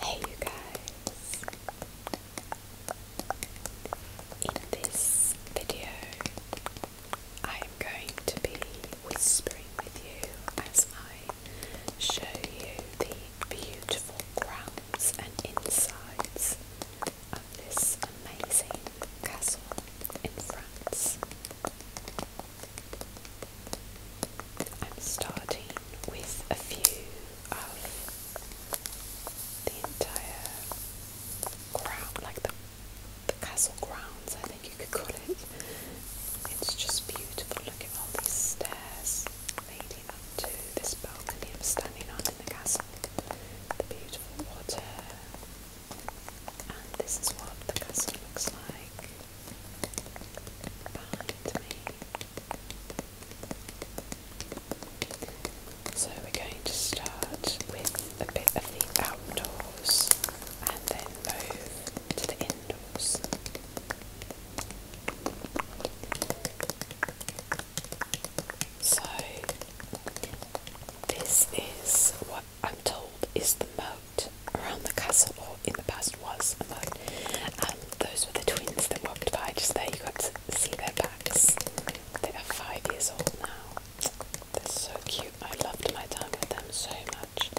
Hey you guys! In this video I am going to be whispering with you as I show you the beautiful grounds and insides of this amazing castle in France. I'm starting with a few of the entire ground, like the, the castle grounds, I think you could call it. It's just beautiful. Look at all these stairs leading up to this balcony I'm standing on in the castle. The beautiful water, and this is what the castle looks like behind me. So we're going to start with a bit of the outdoors and then move to the indoors. So this is what I'm told is the moat around the castle, or in the past was a moat. And um, those were the twins that walked by just there. You could see their backs. They are five years old now. They're so cute. I loved my time with them so much.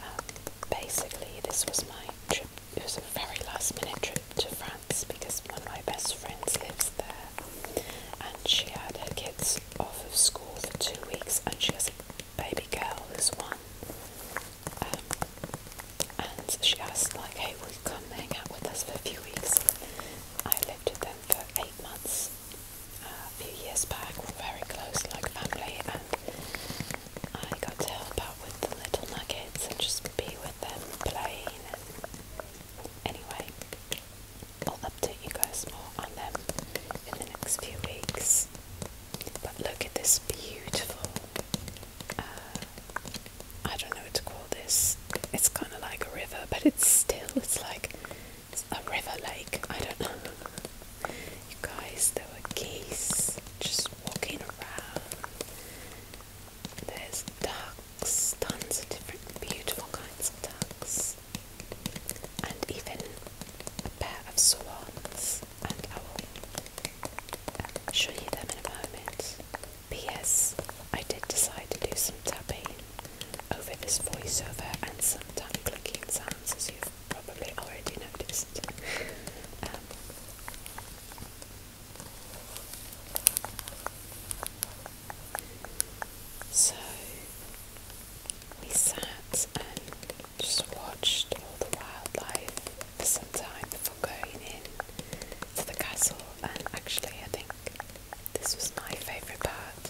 Um, basically, this was my trip. It was a very last minute trip to France because one of my best friends lives there. And she had her kids off of school for two weeks, and she has a baby girl who's one. Um, and she asked, like, hey, will you come hang out with us for a few weeks? I lived with them for eight months uh, a few years back. We're very close, like family, and I got to help out with the little nuggets and just be with them playing. And anyway, I'll update you guys more on them in the next few weeks. But look at this beautiful, uh, I don't know what to call this. It's kind of like a river, but it's still, it's like a river lake. I don't know. You guys, there were geese just walking around. There's ducks, tons of different beautiful kinds of ducks and even a pair of swans, and I will show you them in a moment. P.S. I did decide to do some tapping over this voiceover and some tongue clicking sounds, as you've probably already noticed. Um, so we sat and just watched all the wildlife for some time before going in to the castle and actually I think this was my favourite part.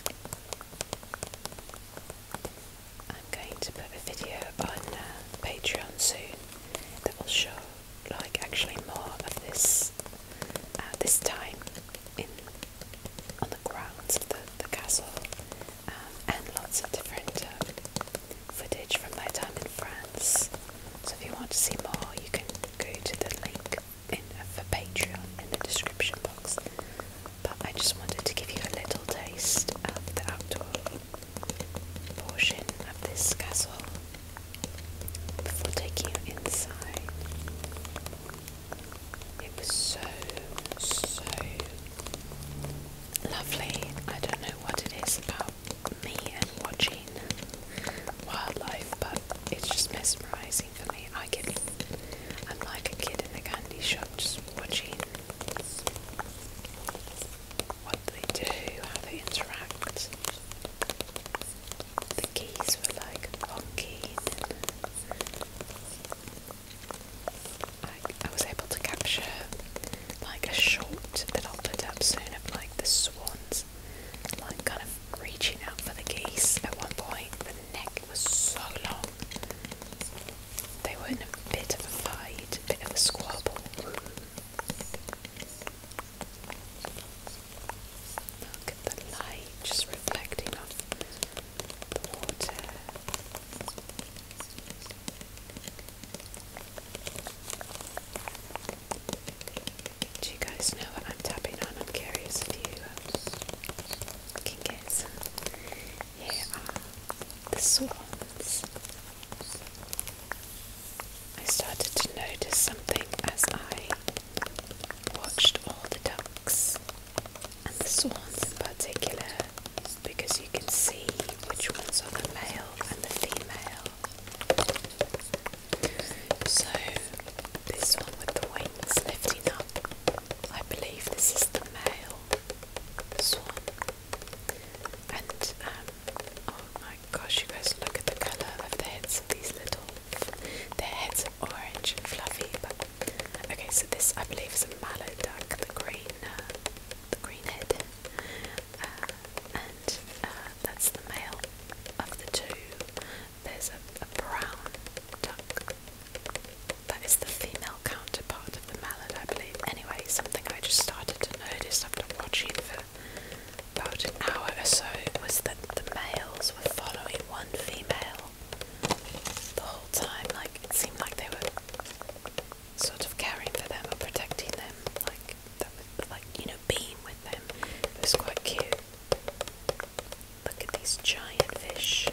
I'm going to put a video on uh, Patreon soon that will show like actually more of this was uh, this time in on the grounds of the, castle, um, and lots of different um, footage from my time in France. So if you want to see more, you can go to the link for Patreon in the description box. But I just wanted to give you a little taste of the outdoor portion of this castle before taking you inside. It was so, so lovely. I don't know what it is about me and watching wildlife, but it's just mesmerizing for me. I get, I'm like a kid in a candy shop, just watching what they do, how they interact, geese were like funky and I, I was able to capture like a short that I'll put up soon of like the swans like kind of reaching out for the geese at one point. The neck was so long. They were in a bit of a fight, a bit of a squabble. Look at the light just reflecting off the water. Do you guys know what I'm tapping on? i curious if you um, can Here are the swans. I started to notice something as I watched all the ducks and the swans in particular because you can see which ones are the male and the female. So, this one with the wings lifting up, I believe this is the male swan. And, um, oh my gosh, you guys look at the colour of the heads of these little their heads are orange and fluffy, but okay. So this, I believe, is a mallow duck, the green, uh, the green head, uh, and uh, that's the male of the two. There's a, brown duck. That is the female counterpart of the mallard, I believe. Anyway, something I just started to notice after watching for about an hour or so was that the males were following one female the whole time. Like it seemed like they were sort of caring for them or protecting them, like that was like you know being with them. It was quite cute. Look at these giant fish.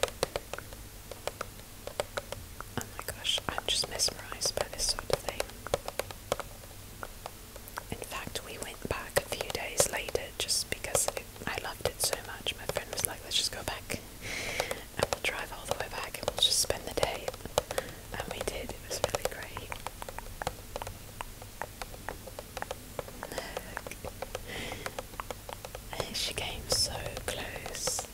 Oh my gosh, I'm just mesmerised by this sort of thing. In fact, we went back a few days later just because I loved it so much. My friend was like, let's just go back and we'll drive all the way back and we'll just spend the day. And we did, it was really great. She came so close.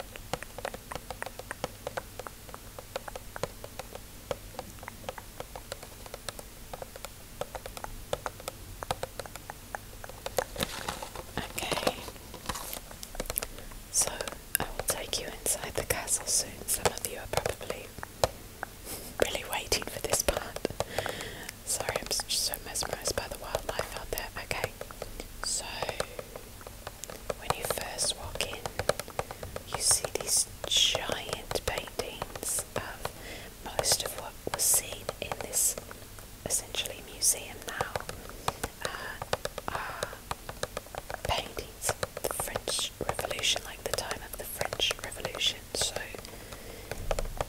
Okay, so I will take you inside the castle soon. Some of you are probably really waiting for this part. Sorry, I'm just so mesmerised by the wildlife out there. Okay, so when you first walk in, you see these giant paintings of most of what was seen in this essentially museum now uh, are paintings of the French Revolution, like the time of the French Revolution. So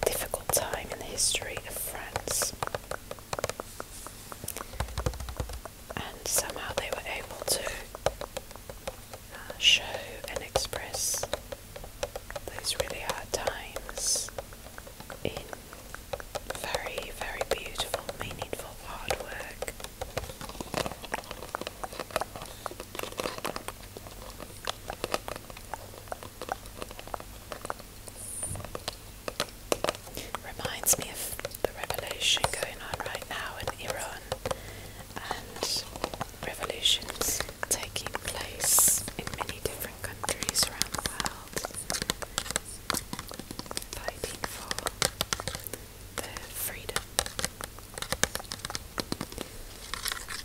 difficult time in the history of France. And somehow they were able to show and express those really hard times in very, very beautiful, meaningful work. Reminds me of the revolution going on right now in Iran and revolutions taking place in many different countries around the world, fighting for their freedom.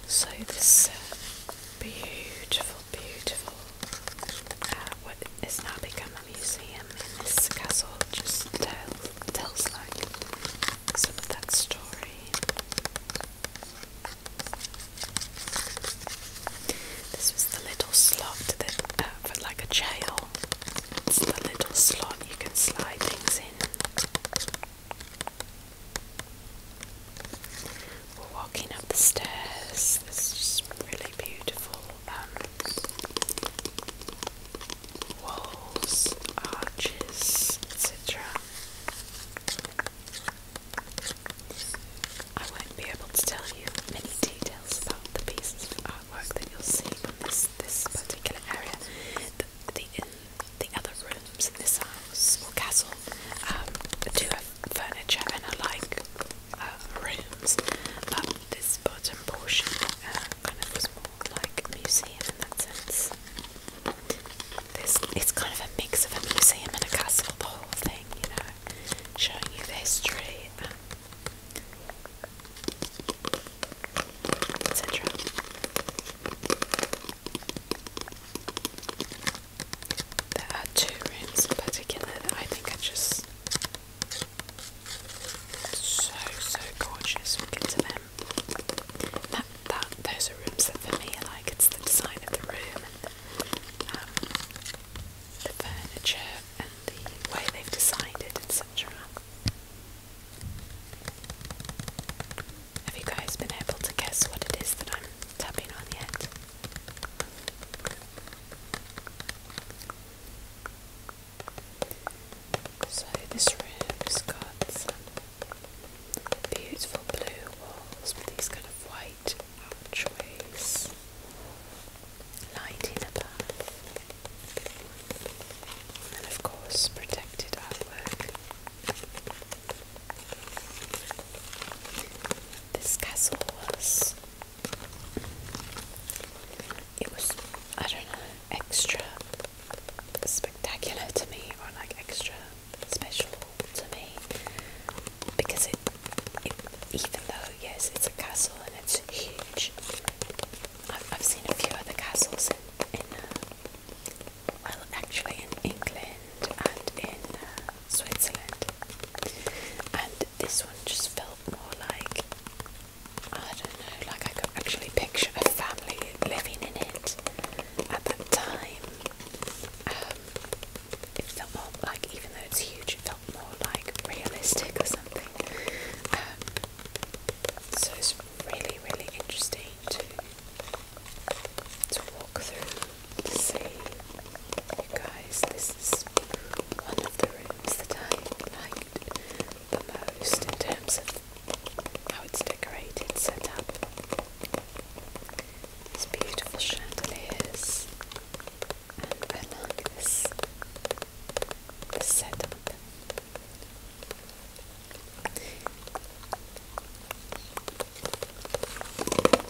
So this uh, beautiful, beautiful, uh, what has now become a museum and this castle just tell, tells like some of that story. This was the little slot that uh, for like a jail. It's the little slot you can slide things in. We're walking up the stairs. This just really beautiful um, walls, arches, etc. I won't be able to tell you many details about the pieces of artwork that you'll see from this this particular area. The in, the other rooms in this house or castle um, do have furniture and are uh, rooms, but this bottom portion uh, kind of was more like museum in that sense. There's, it's kind of a mix of a museum and a castle, the whole thing, you know, showing you the history, um, etc. There are two rooms in particular that I think are just so so gorgeous. We'll them. That, that those are rooms that for me like it's the design of the room and um, the furniture and the way they've designed it and such around. Have you guys been able to guess what it is that I'm tapping on yet? So this room has got some beautiful blue walls with these kind of white archways lighting above and of course protected artwork. This castle was it was I don't know extra spectacular to me or like extra special to me because it, even though yes it's a castle and it's huge I've, I've seen a few other castles in, in uh, well actually in England and in uh, Switzerland and this one just felt more like I don't know, like I could actually picture a family living in it at that time. Um, it felt more like, even though it's huge, it felt more like realistic or something. Um, so it's really, really interesting to to walk through to see. guys, this is one of the rooms that I liked the most in terms of how it's decorated, set up. These beautiful chandeliers and I like this, this setup.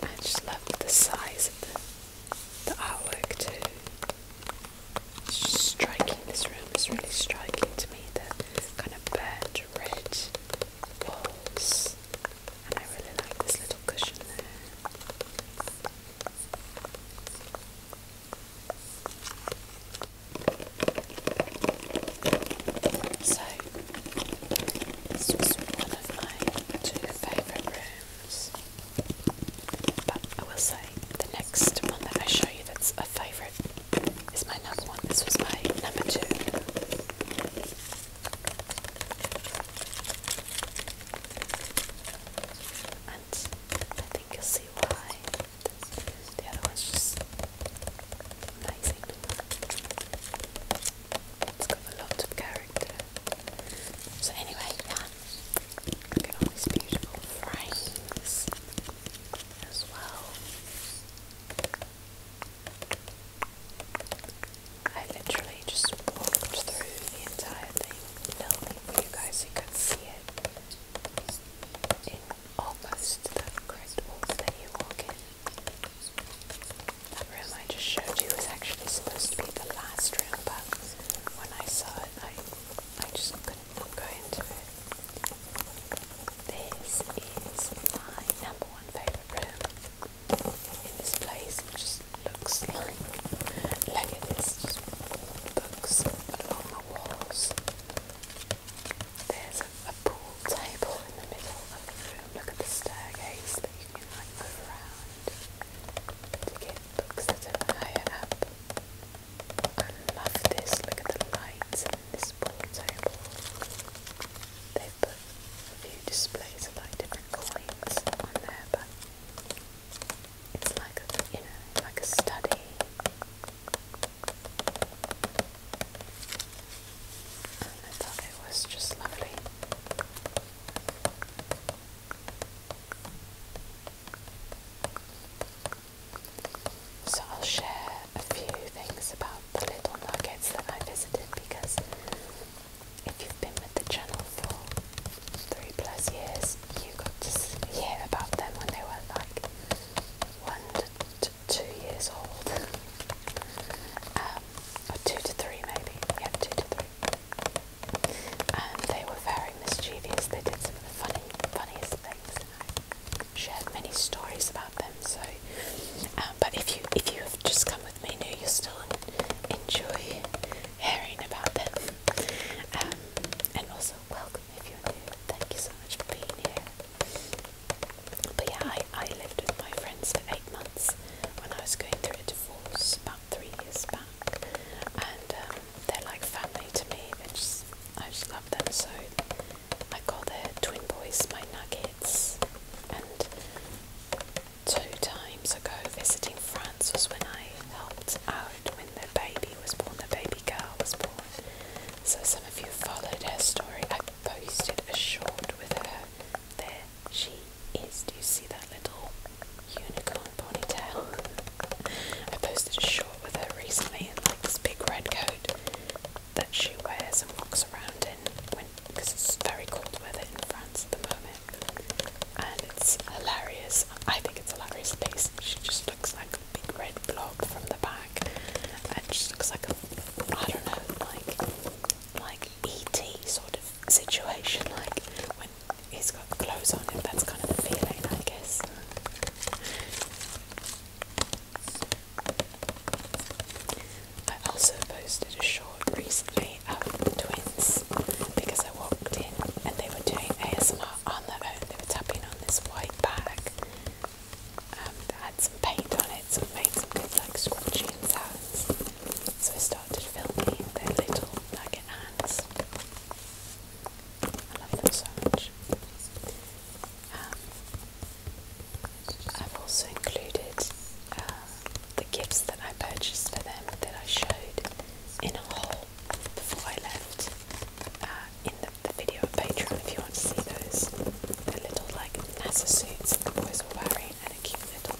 I just love the size of the artwork too. It's striking. This room is really striking to me. The kind of burnt red walls, and I really like this little cushion there. So, this was one of my two favourite rooms. But I will say the next one that I show you that's a favourite is my number one. This was my number two. And I think you'll see why. The other one's just amazing. It's got a lot of character. So anyway, look at all these beautiful frames as well. I literally just walked through the entire thing, filming you guys could see it in almost the correct that room I just showed you was actually supposed to be the last room, but when I saw it, I, I just couldn't not go into it. This is my number one favourite room in this place. It just looks like, look at this, just books along the walls. There's a, a pool table in the middle of the room. Look at the staircase that you can like move around to get books that are higher up. I love this, look at the lights and this pool table. They put a few displays of like different coins on there, but it's like a, like a study. I thought it was just lovely. So I'll share a few things about the little nuggets that I visited because if you've been with the channel for three plus years, you got to hear about them when they were like one to two years old, um, or two to three maybe. Yeah, two to three they were very mischievous. They did some of the funny, funniest things, shared many stories about them. So, um, but if you if you have just come with me now, you'll still enjoy hearing about them. Um, and also, welcome if you're new. Thank you so much for being here. But yeah, I, I lived with my friends for eight months when I was going through a divorce about three years back, and um, they're like family to me. They just, I just love them so. I call their twin boys my nuggets. And two times ago, visiting France was when I helped out when the baby was born. the baby girl was born. So some of you followed her story. I posted a short with her there. She is do you see that little unicorn ponytail? I posted a short with her recently and like this big red coat that she wears and walks around in when because it's very cold weather in France at the moment. And it's hilarious. I think it's hilarious at least. She just looks like a big red blob from the back. And just looks like a I don't know, like like E. T. sort of situation, like when he's got clothes on that's kind of the feeling, I guess. I also posted a short recently of twins because I walked in and they were doing ASMR on their own. They were tapping on this white bag um, and had some paint on it lights and made good like scratching sounds. So I started filming their little nugget hands. I love them so much. Um, I've also included um, the gifts that I purchased for them that I showed in a haul before I left uh, in the, video on Patreon if you want to see those. The little like NASA suits that the boys were wearing and a cute Okay, you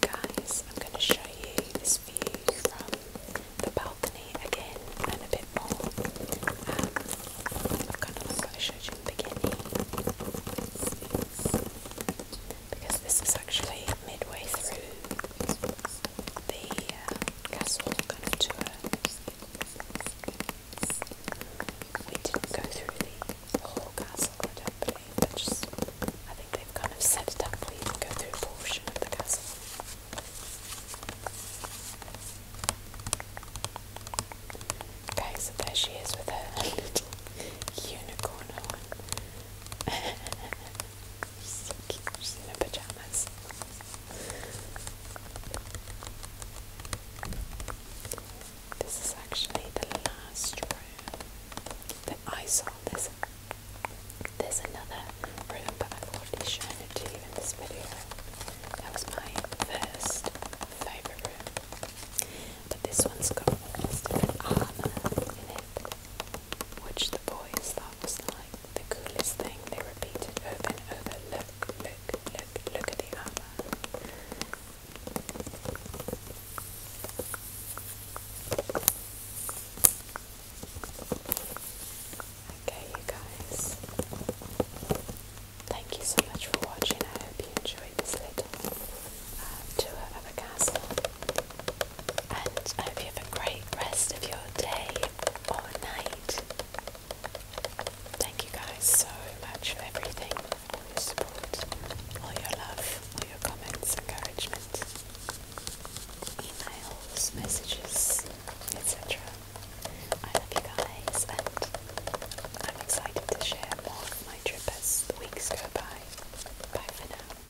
guys, I'm going to show you this view from the balcony again and a bit more. Um, I've kind of like what I you in the beginning because this is actually midway through the uh, kind of tour. We didn't go through the whole castle, I do but just I think they've kind of set it up where you can go through a portion of the castle. Okay, so there she is with her little unicorn So cute. She's in her pajamas. This is actually the last room that I saw. There's, there's another room, but I've already shown to you in this video. That was my first favourite room. But this one's got almost an in it which the boys thought was like the coolest thing. They repeated over and over, look, look, look, look at the armor. Okay, you guys. Thank you so much for watching. I hope you enjoyed this little uh, tour of a castle and I hope you have a great rest of your day or night. Thank you guys so much for everything, all your support, all your love, all your comments, encouragement, emails, messages, etc. I love you guys and I'm excited to share more of my trip as the weeks go by. Bye for now.